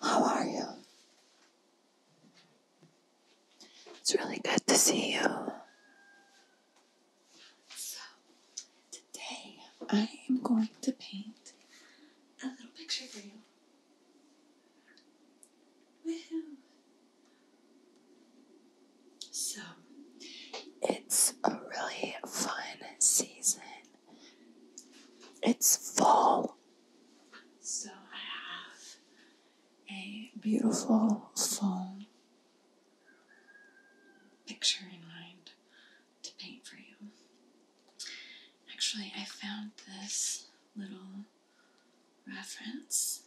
How are you? It's really good to see you. So, today I am going to paint a little picture for you. So, it's a really fun season it's fall. So I have a beautiful fall picture in mind to paint for you. Actually, I found this little reference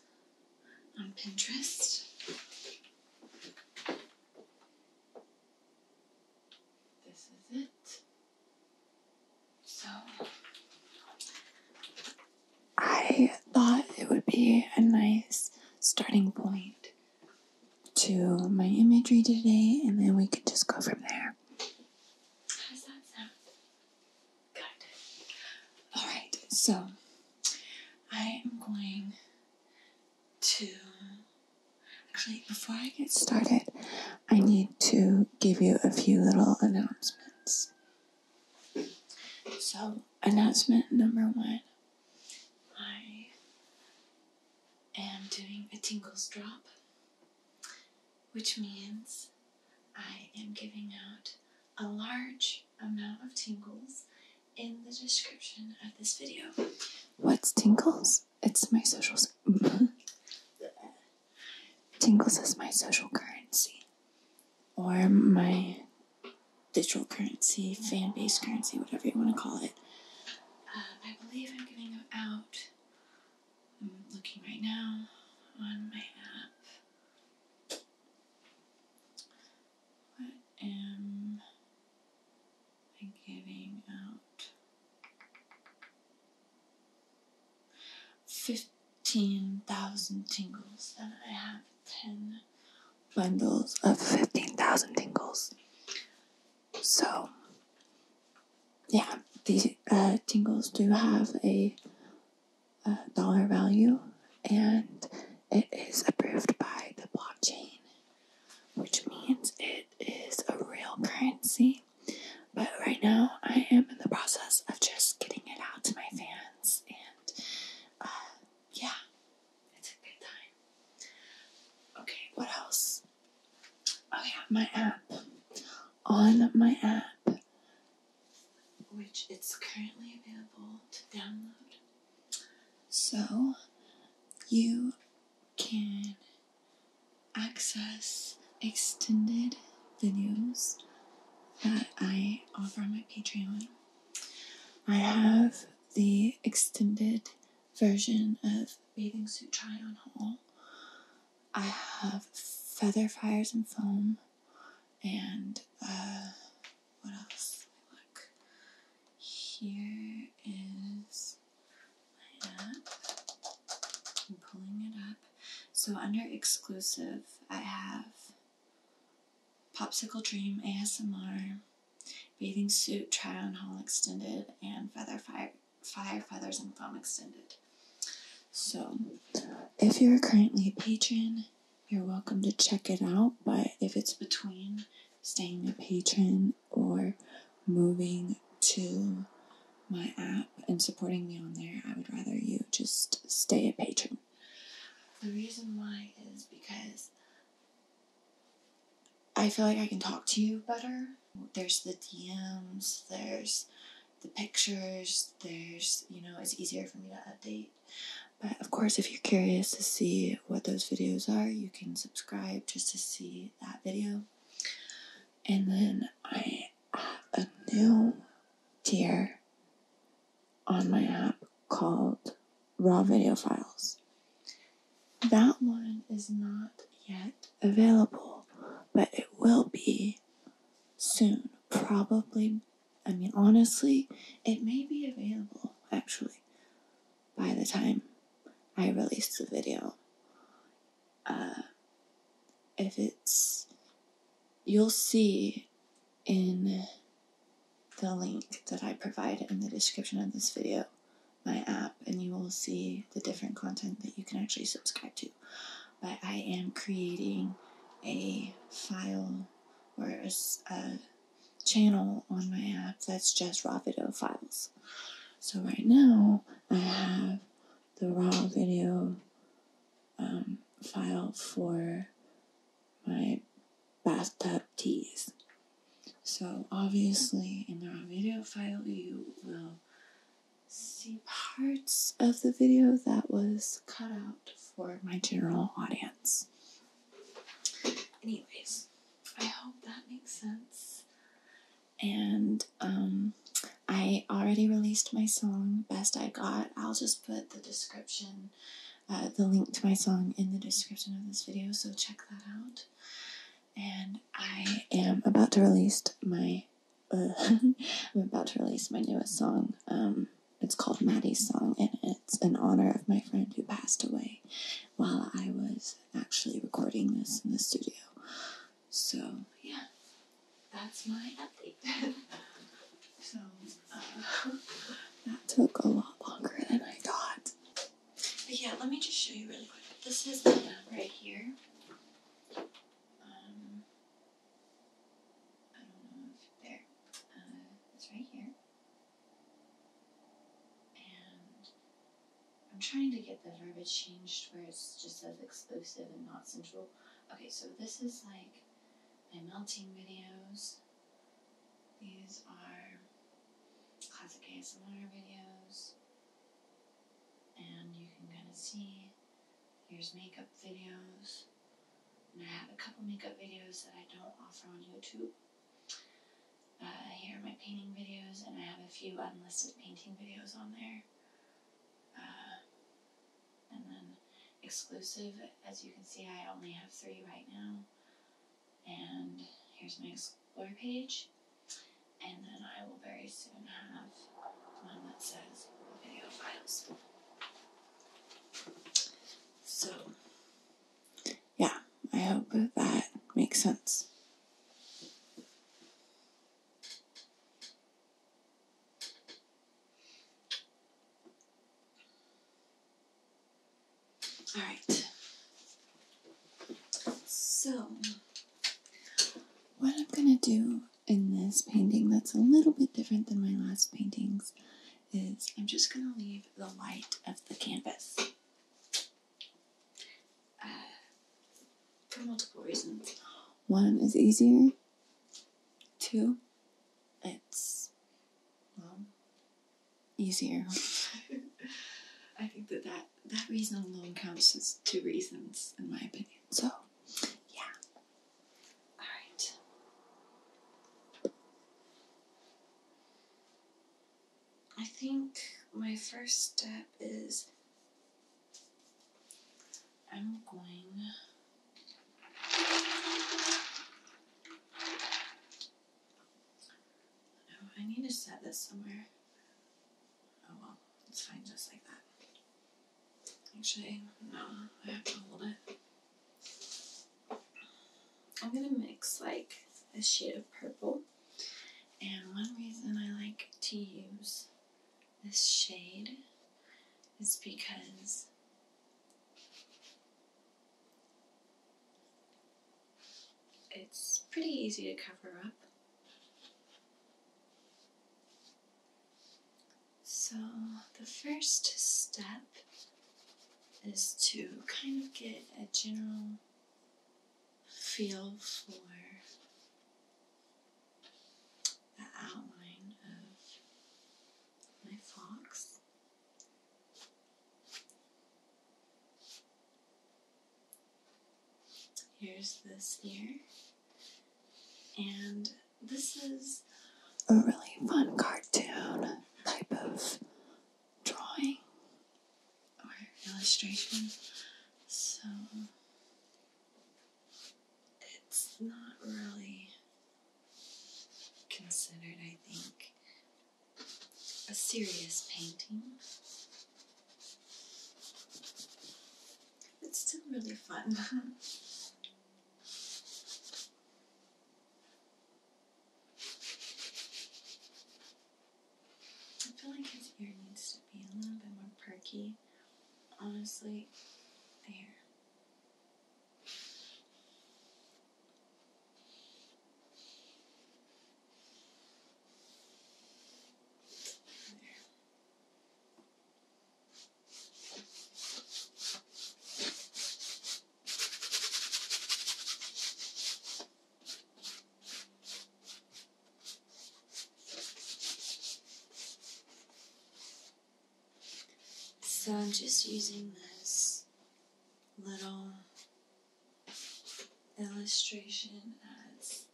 on Pinterest. This is it. So, I thought it would be a nice starting point to my imagery today, and then we could just go from there. How does that sound? Good. Alright, so I am going to actually before I get started, I need to give you a few little announcements. So, announcement number one I am doing a tingles drop, which means I am giving out a large amount of tingles in the description of this video. What's tingles? It's my socials. Tingles is my social currency, or my digital currency, fan base currency, whatever you want to call it. Um, I believe I'm going to go out. I'm looking right now on my app. What am and giving out 15,000 tingles. And I have 10 bundles of 15,000 tingles. So, yeah, these uh, tingles do have a uh, dollar value and it is approved by the blockchain which means it is a real currency. But right now, I am in the process of just getting it out to my fans, and uh, yeah, it's a good time. Okay, what else? Oh, yeah, my app. On my app, which it's currently available to download. So, you can access extended videos that I offer on my Patreon. I have the extended version of Bathing Suit Try on Haul. I have Feather Fires and Foam and uh, what else? Look, here is I'm pulling it up. So under exclusive, I have Popsicle Dream ASMR, Bathing Suit Try On Haul Extended, and Feather Fire, Fire Feathers and Foam Extended. So if you're currently a patron, you're welcome to check it out, but if it's between staying a patron or moving to my app and supporting me on there, I would rather you just stay a patron. The reason why is because I feel like I can talk to you better. There's the DMs, there's the pictures, there's, you know, it's easier for me to update. But of course, if you're curious to see what those videos are, you can subscribe just to see that video. And then I have a new tier on my app called Raw Video Files. That one is not yet available, but it will be soon. Probably, I mean, honestly, it may be available actually by the time I release the video. Uh, if it's, you'll see in the link that I provide in the description of this video my app, and you will see the different content that you can actually subscribe to. But I am creating a file or a channel on my app that's just raw video files. So right now I have the raw video um, file for my bathtub tease. So obviously in the raw video file you will see parts of the video that was cut out for my general audience. Anyways, I hope that makes sense and um, I already released my song Best I Got. I'll just put the description, uh, the link to my song in the description of this video, so check that out. And I am about to release my I'm about to release my newest song. Um, it's called Maddie's Song, and it's in honor of my friend who passed away while I was actually recording this in the studio. So, yeah, that's my update. so, uh, that took a lot longer than I thought. But yeah, let me just show you really quick. This is the map right here. Um, I don't know if there. Uh, it's right here. I'm trying to get the verbiage changed where it's just as explosive and not sensual. Okay, so this is like my melting videos. These are classic ASMR videos. And you can kind of see, here's makeup videos. And I have a couple makeup videos that I don't offer on YouTube. Uh, here are my painting videos, and I have a few unlisted painting videos on there. Uh, and then exclusive, as you can see, I only have three right now. And here's my explore page. And then I will very soon have one that says video files. So, yeah, I hope that makes sense. All right. So, what I'm going to do in this painting that's a little bit different than my last paintings is I'm just going to leave the light of the canvas for multiple reasons. One is easier. Two, it's easier. I think that, that that reason alone counts as two reasons, in my opinion. So, yeah. All right. I think my first step is I'm going oh, I need to set this somewhere. Oh well, it's fine just like that. Actually, no, I have to hold it. I'm gonna mix like a shade of purple and one reason I like to use this shade is because it's pretty easy to cover up. So the first step is to kind of get a general feel for the outline of my fox. Here's this ear, and this is a really fun cartoon type of drawing or illustration, so it's not really considered, I think, a serious painting. It's still really fun. I feel like his ear needs to be a little bit more perky. Honestly, there. So I'm just using this little illustration as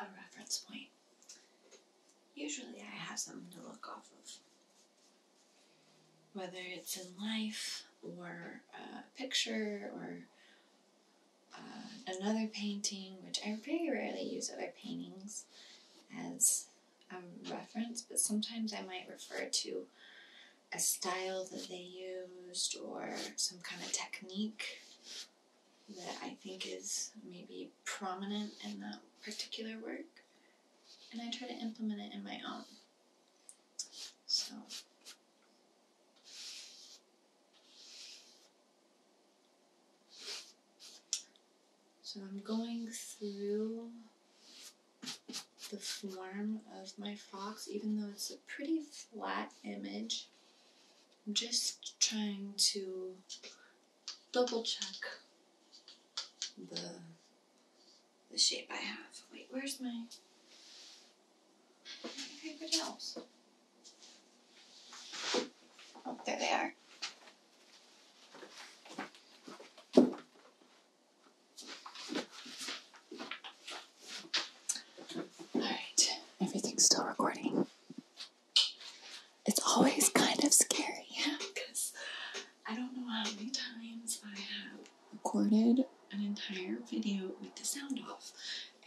a reference point. Usually I have something to look off of, whether it's in life or a picture or uh, another painting, which I very rarely use other paintings as a reference, but sometimes I might refer to a style that they used or some kind of technique that I think is maybe prominent in that particular work. And I try to implement it in my own. So so I'm going through the form of my fox, even though it's a pretty flat image. I'm just trying to double check the, the shape I have. Wait, where's my, my paper Oh, there they are. All right, everything's still recording. It's always kind of scary, because I don't know how many times I have recorded an entire video with the sound off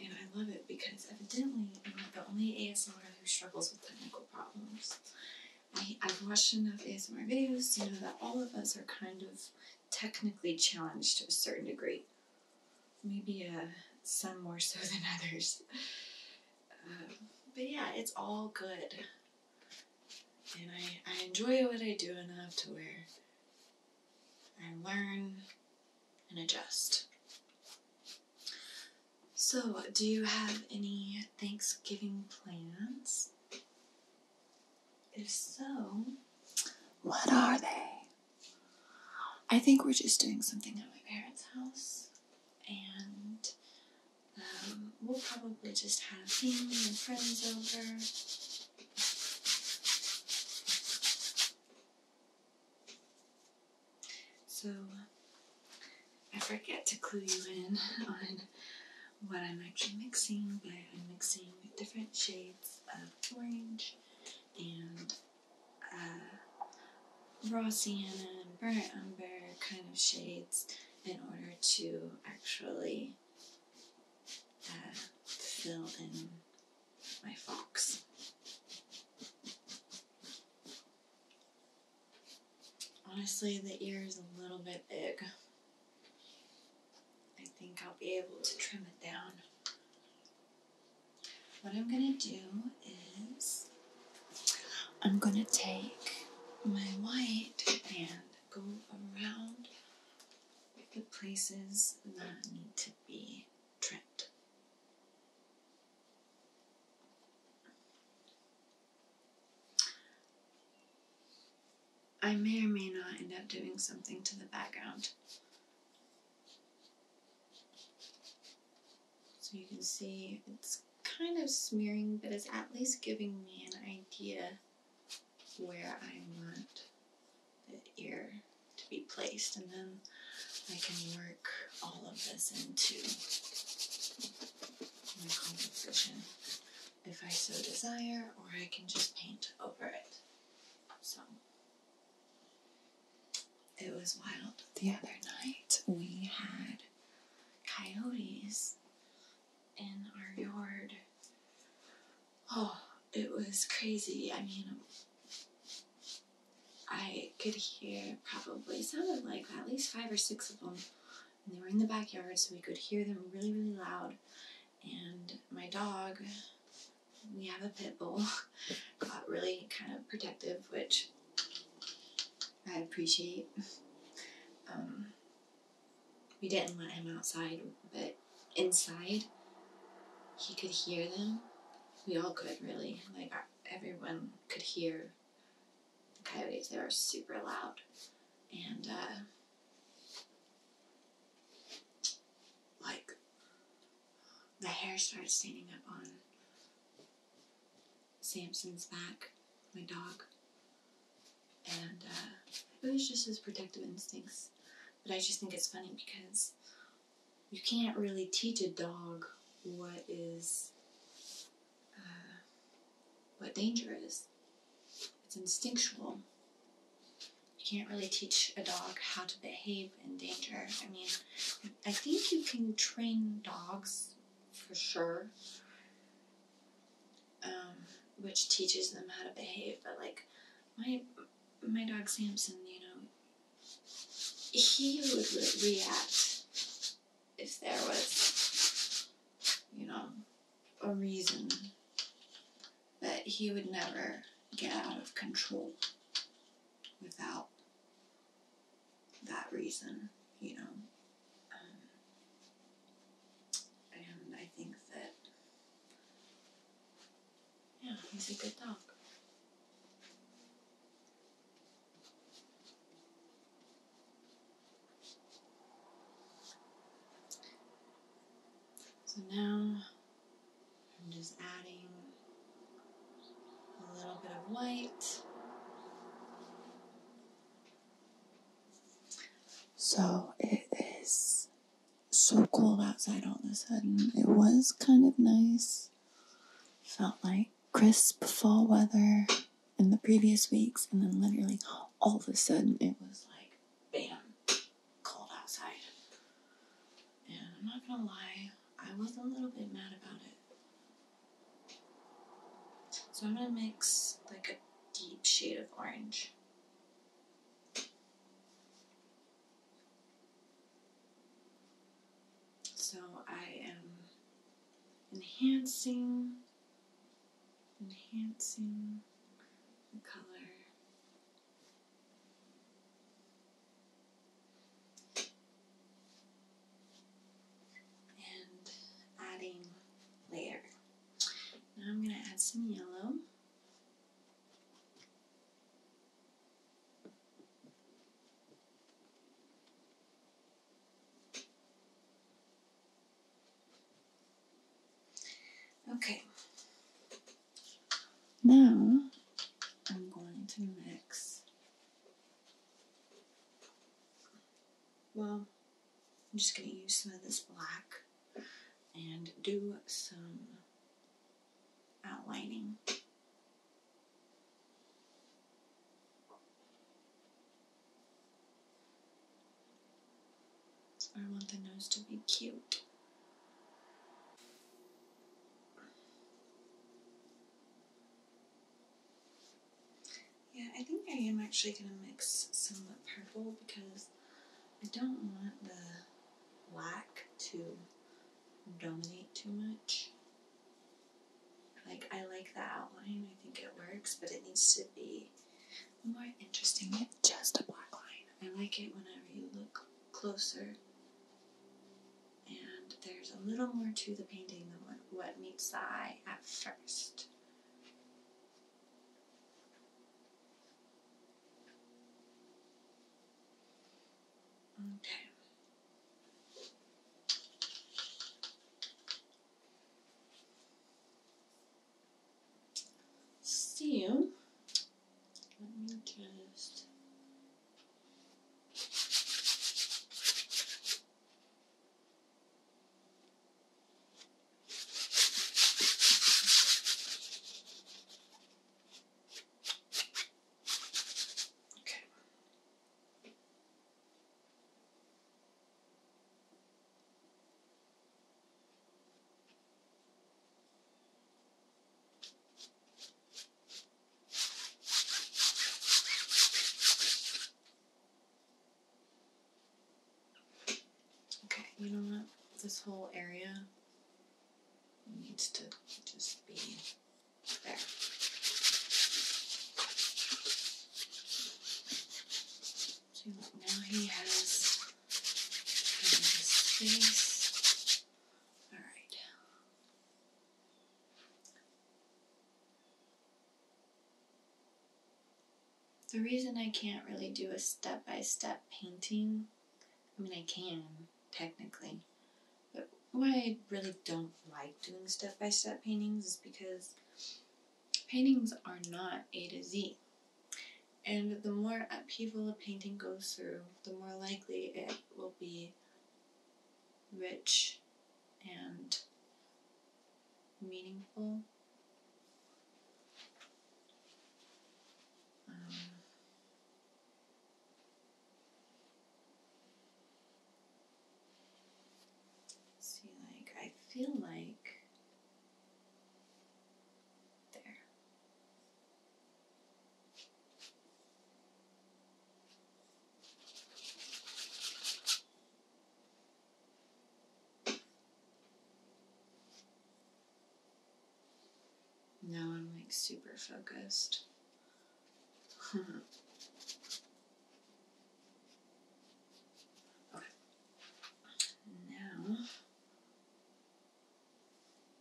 and I love it because evidently I'm not the only ASMR who struggles with technical problems. I, have watched enough ASMR videos to know that all of us are kind of technically challenged to a certain degree. Maybe uh, some more so than others. Um, but yeah, it's all good. And I, I enjoy what I do enough to where I learn and adjust. So, do you have any Thanksgiving plans? If so, what are they? I think we're just doing something at my parents' house, and um, we'll probably just have family and friends over. So I forget to clue you in on what I'm actually mixing, but I'm mixing different shades of orange and uh, raw sienna and burnt umber kind of shades in order to actually uh, fill in my fox. Honestly, the ear is a little bit big. I think I'll be able to trim it down. What I'm gonna do is I'm gonna take my white and go around the places that need to be Trent. I may or may not end up doing something to the background. So you can see it's kind of smearing, but it's at least giving me an idea where I want the ear to be placed, and then I can work all of this into my composition if I so desire, or I can just paint over it. So it was wild. The other night we had coyotes in our yard. Oh, it was crazy. I mean, I could hear probably sounded like at least five or six of them. And they were in the backyard, so we could hear them really, really loud. And my dog, we have a pit bull, got really kind of protective, which I appreciate. Um, we didn't let him outside, but inside, he could hear them we all could really. Like everyone could hear the coyotes. They were super loud, and uh, like the hair started standing up on Samson's back, my dog, and uh, it was just his protective instincts. But I just think it's funny because you can't really teach a dog what is uh, what danger is. It's instinctual. You can't really teach a dog how to behave in danger. I mean, I think you can train dogs for sure, um, which teaches them how to behave. But like my my dog Samson, you know, he would react if there was, you know, a reason. But he would never get out of control without that reason, you know. Um, and I think that yeah, he's a good dog. So now I'm just adding a little bit of white. So it is so cold outside all of a sudden. It was kind of nice. Felt like crisp fall weather in the previous weeks, and then literally all of a sudden it was like bam, cold outside. And I'm not gonna lie, I was a little bit mad about it. So I'm gonna mix like a deep shade of orange. So I am enhancing, enhancing the color. and adding layer. Now I'm going to add some yellow. Okay. Now I'm going to mix. Well, I'm just going to use some of this black and do some outlining. I want the nose to be cute. Yeah, I think I am actually going to mix some purple because I don't want the black to dominate too much. Like, I like the outline, I think it works, but it needs to be more interesting just a black line. I like it whenever you look closer and there's a little more to the painting than what meets the eye at first. Okay. So, let me just. Okay. Okay, you know what? This whole area needs to just be there. See, now he has his face. All right. The reason I can't really do a step by step painting I mean, I can, technically. But why I really don't like doing step by step paintings is because paintings are not A to Z. And the more upheaval a painting goes through, the more likely it will be rich and meaningful. Um, See, like, I feel like there. Now I'm like super focused. okay. Now,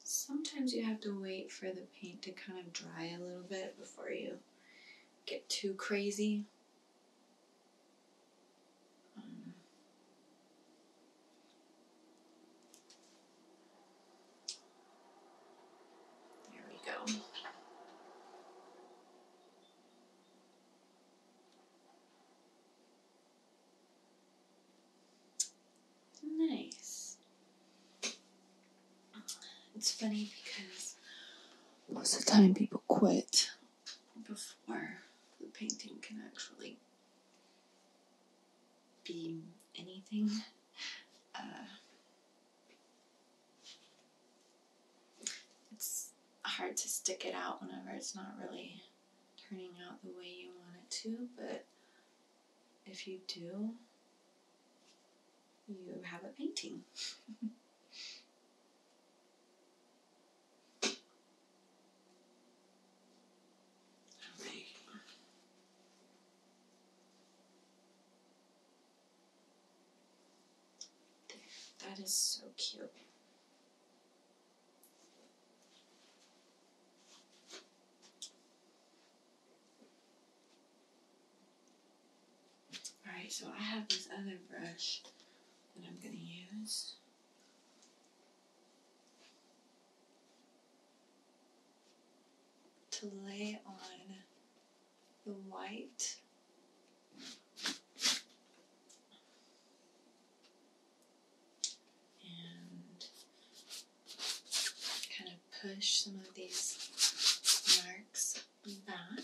sometimes you have to wait for the paint to kind of dry a little bit before you get too crazy. Um, there we go. Nice. It's funny because most of the time people quit before the painting can actually be anything. Uh, it's hard to stick it out whenever it's not really turning out the way you want it to, but if you do, you have a painting. Alright that is so cute. Alright, so I have this other brush that I'm going to use to lay on the white and kind of push some of these marks back.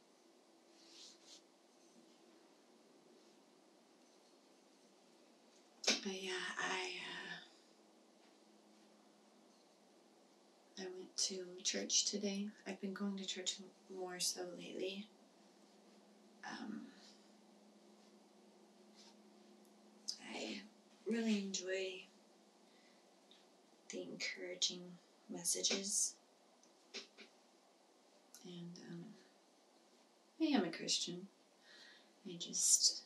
But yeah, I uh, I went to church today. I've been going to church more so lately. Um, I really enjoy the encouraging messages and um, I am a Christian. I just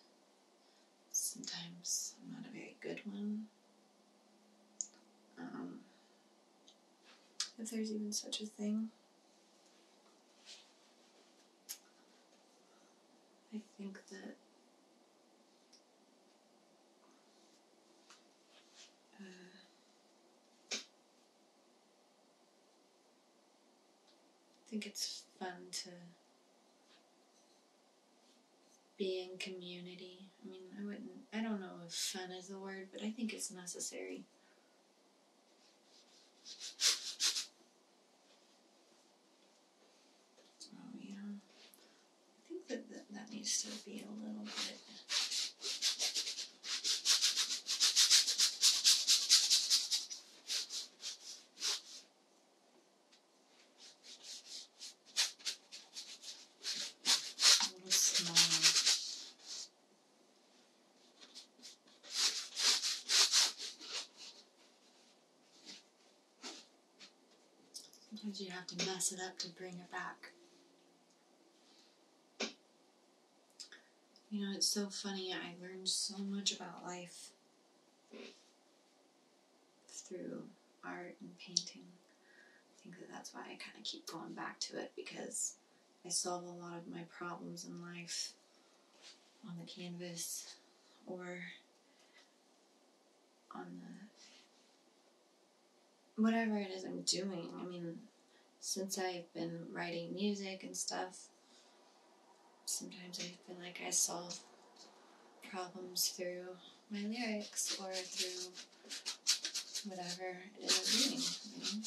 sometimes I'm not a very good one. Um, if there's even such a thing. I think that uh, I think it's fun to be in community. I mean, I wouldn't, I don't know if fun is the word, but I think it's necessary. Oh, yeah. I think that that, that needs to be a little bit Sometimes you have to mess it up to bring it back. You know, it's so funny. I learned so much about life through art and painting. I think that that's why I kind of keep going back to it because I solve a lot of my problems in life on the canvas or on the whatever it is I'm doing. I mean, since I've been writing music and stuff, sometimes I feel like I solve problems through my lyrics or through whatever it is I'm reading.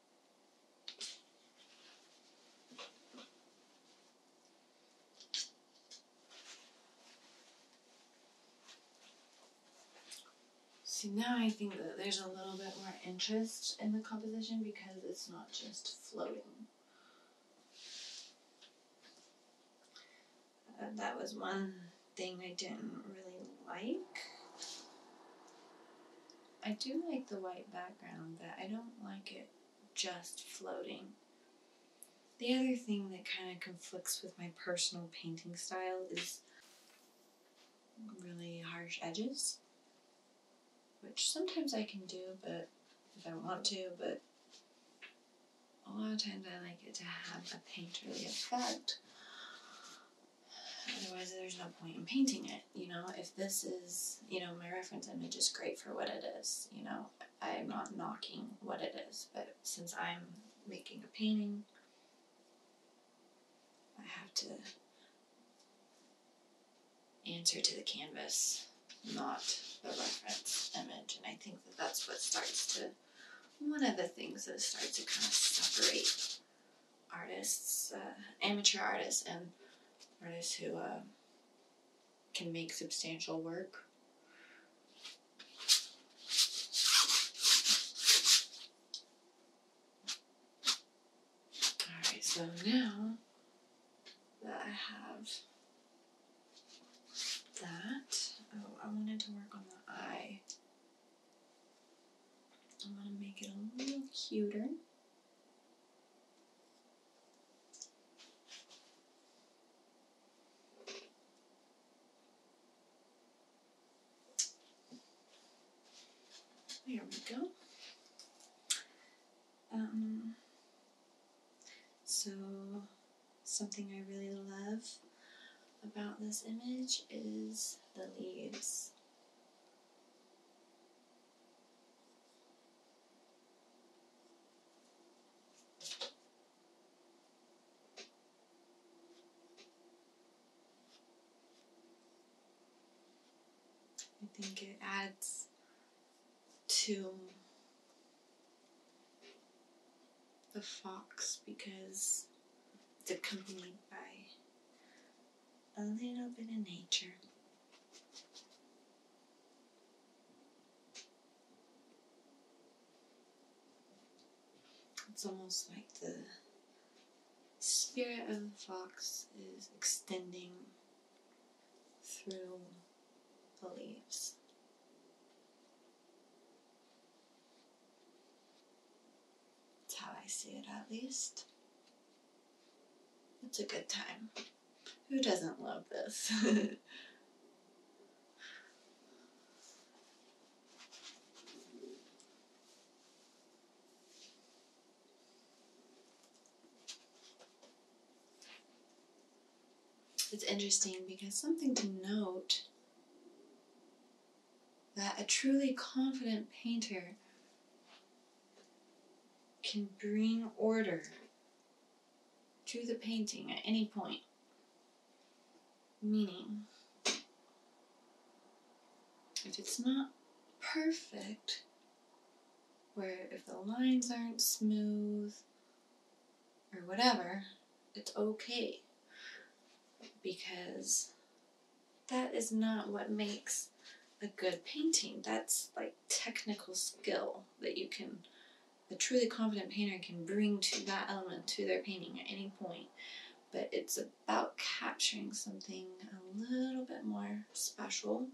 See, now I think that there's a little bit more interest in the composition because it's not just floating. Uh, that was one thing I didn't really like. I do like the white background, but I don't like it just floating. The other thing that kind of conflicts with my personal painting style is really harsh edges, which sometimes I can do, but if I want to, but a lot of times I like it to have a painterly effect. Otherwise, there's no point in painting it. You know, if this is, you know, my reference image is great for what it is, you know, I'm not knocking what it is, but since I'm making a painting, I have to answer to the canvas, not the reference image. And I think that that's what starts to, one of the things that starts to kind of separate artists, uh, amateur artists, and artists who uh, can make substantial work. Alright, so now that I have that, oh, I wanted to work on the eye I'm going to make it a little cuter. There we go. Um, so, something I really love about this image is the leaves. I think it adds to the fox because it's accompanied by a little bit of nature. It's almost like the spirit of the fox is extending through the leaves. That's how I see it, at least. It's a good time. Who doesn't love this? it's interesting because something to note that a truly confident painter can bring order to the painting at any point. Meaning, if it's not perfect, where if the lines aren't smooth or whatever, it's okay because that is not what makes a good painting. That's like technical skill that you can, a truly confident painter can bring to that element to their painting at any point. But it's about capturing something a little bit more special,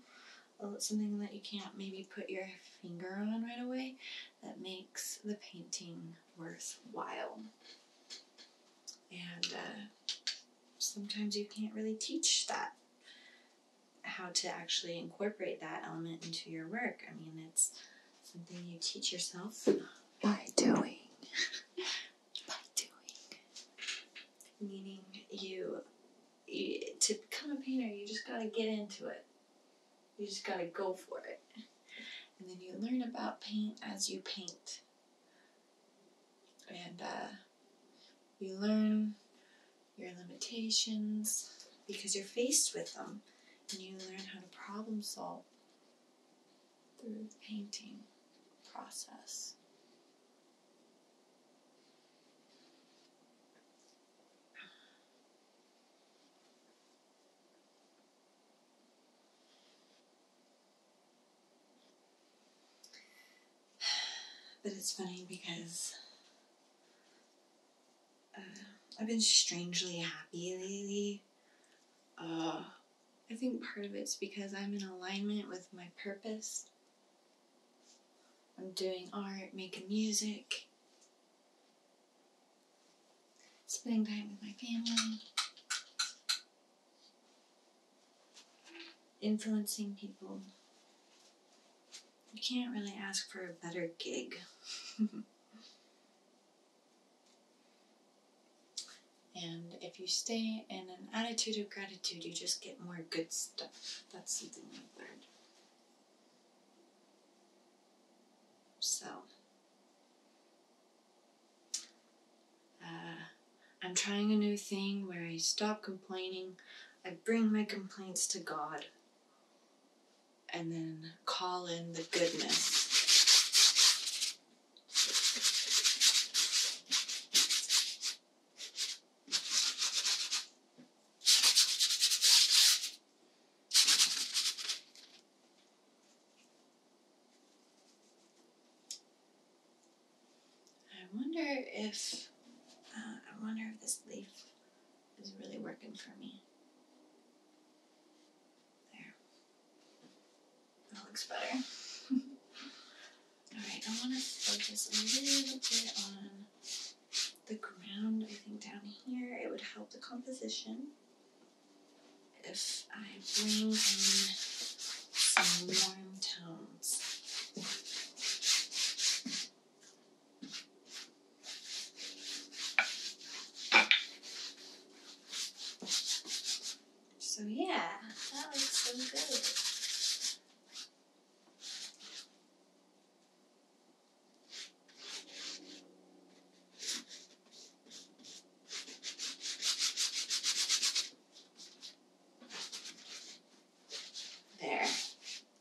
something that you can't maybe put your finger on right away that makes the painting worthwhile. And uh, sometimes you can't really teach that how to actually incorporate that element into your work. I mean, it's something you teach yourself by doing. by doing. Meaning you, you to become a painter, you just got to get into it. You just got to go for it. And then you learn about paint as you paint. And uh, you learn your limitations because you're faced with them and you learn how to problem solve through the painting process. But it's funny because uh, I've been strangely happy lately. Uh, I think part of it's because I'm in alignment with my purpose. I'm doing art, making music, spending time with my family influencing people. You can't really ask for a better gig. and if you stay in an attitude of gratitude, you just get more good stuff. That's something I learned. So, uh, I'm trying a new thing where I stop complaining, I bring my complaints to God, and then call in the goodness. I wonder if uh, I wonder if this leaf is really working for me. There, that looks better. All right, I want to focus a little bit on the ground. I think down here it would help the composition if I bring in some warm tones. So yeah, that looks so good. There.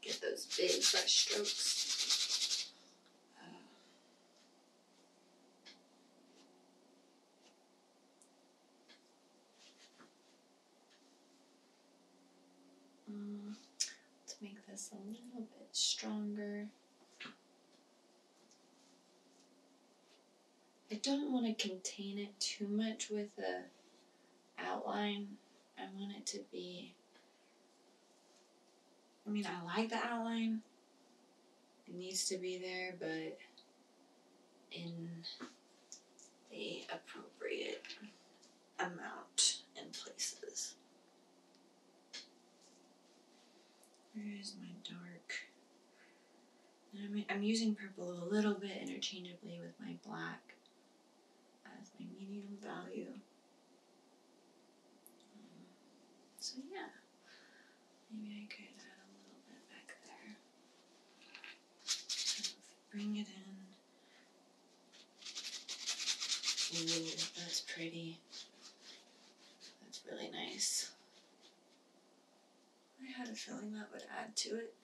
Get those big brush strokes. Uh, to make this a little bit stronger. I don't want to contain it too much with a outline. I want it to be. I mean, I like the outline. It needs to be there, but in the appropriate amount and places. Where is my dark? I'm, using purple a little bit interchangeably with my black as my medium value. Um, so yeah, maybe I could add a little bit back there. bring it in. Ooh, that's pretty. That's really nice. I had a feeling that would add to it.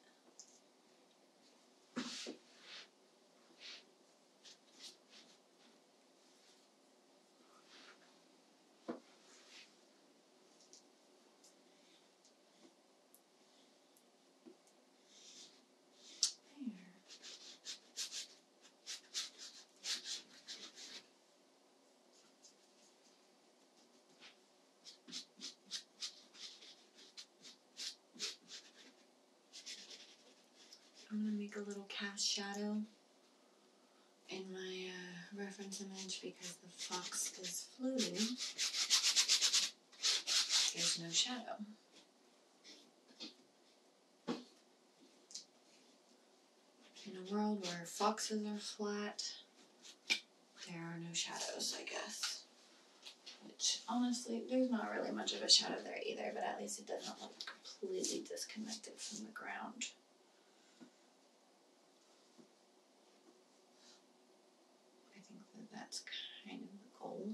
I'm going to make a little cast shadow in my uh, reference image because the fox is floating. There's no shadow. In a world where foxes are flat, there are no shadows, I guess. Which, honestly, there's not really much of a shadow there either, but at least it doesn't look completely disconnected from the ground. I think that that's kind of the goal.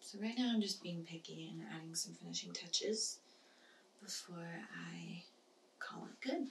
So right now I'm just being picky and adding some finishing touches before I call it good.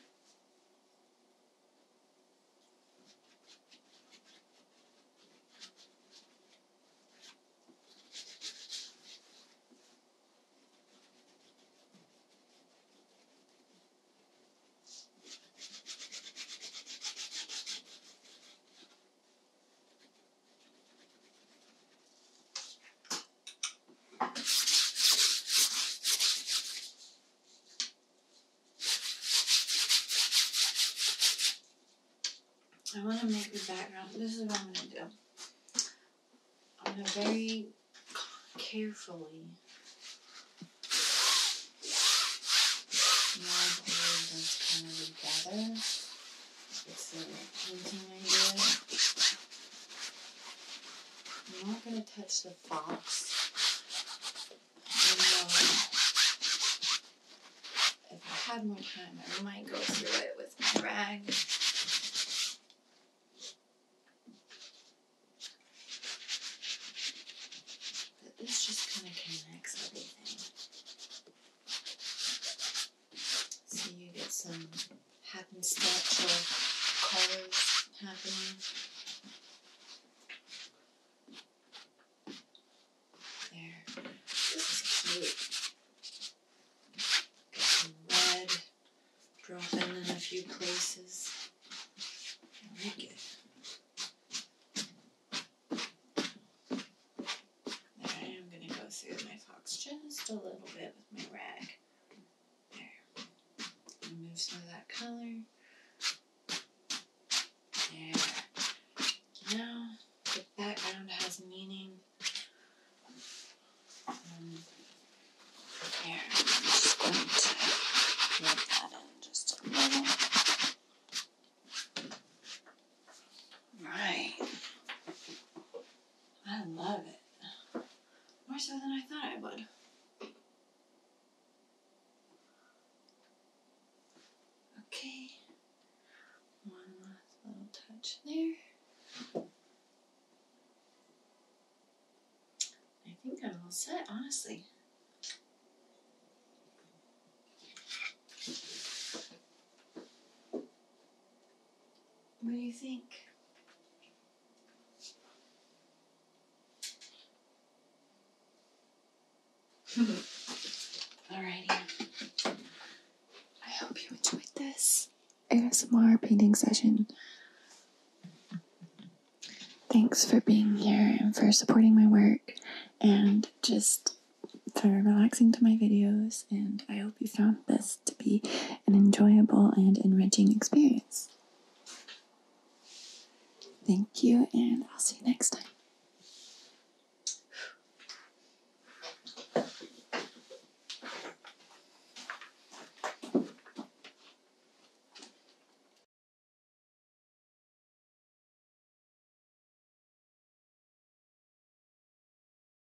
I want to make the background. This is what I'm going to do. I'm going to very carefully meld all kind of together. I am not going to touch the fox. I um, if I had more time, I might go through it with my rag. But this just kind of connects everything. So you get some happenstance or colors happening. There. This is cute. Got some red dropping in a few places. like it. I'm going to go through my fox just a little bit with my rag. There. Remove some of that color. There. Now, the background has meaning. Um, there. I'm just going to rub that in just a little. Right. I love it. More so than I thought I would. Okay. One last little touch there. I think I'm all set, honestly. What do you think? Alrighty. I hope you enjoyed this ASMR painting session. Thanks for being here and for supporting my work and just for relaxing to my videos and I hope you found this to be an enjoyable and enriching experience. Thank you, and I'll see you next time.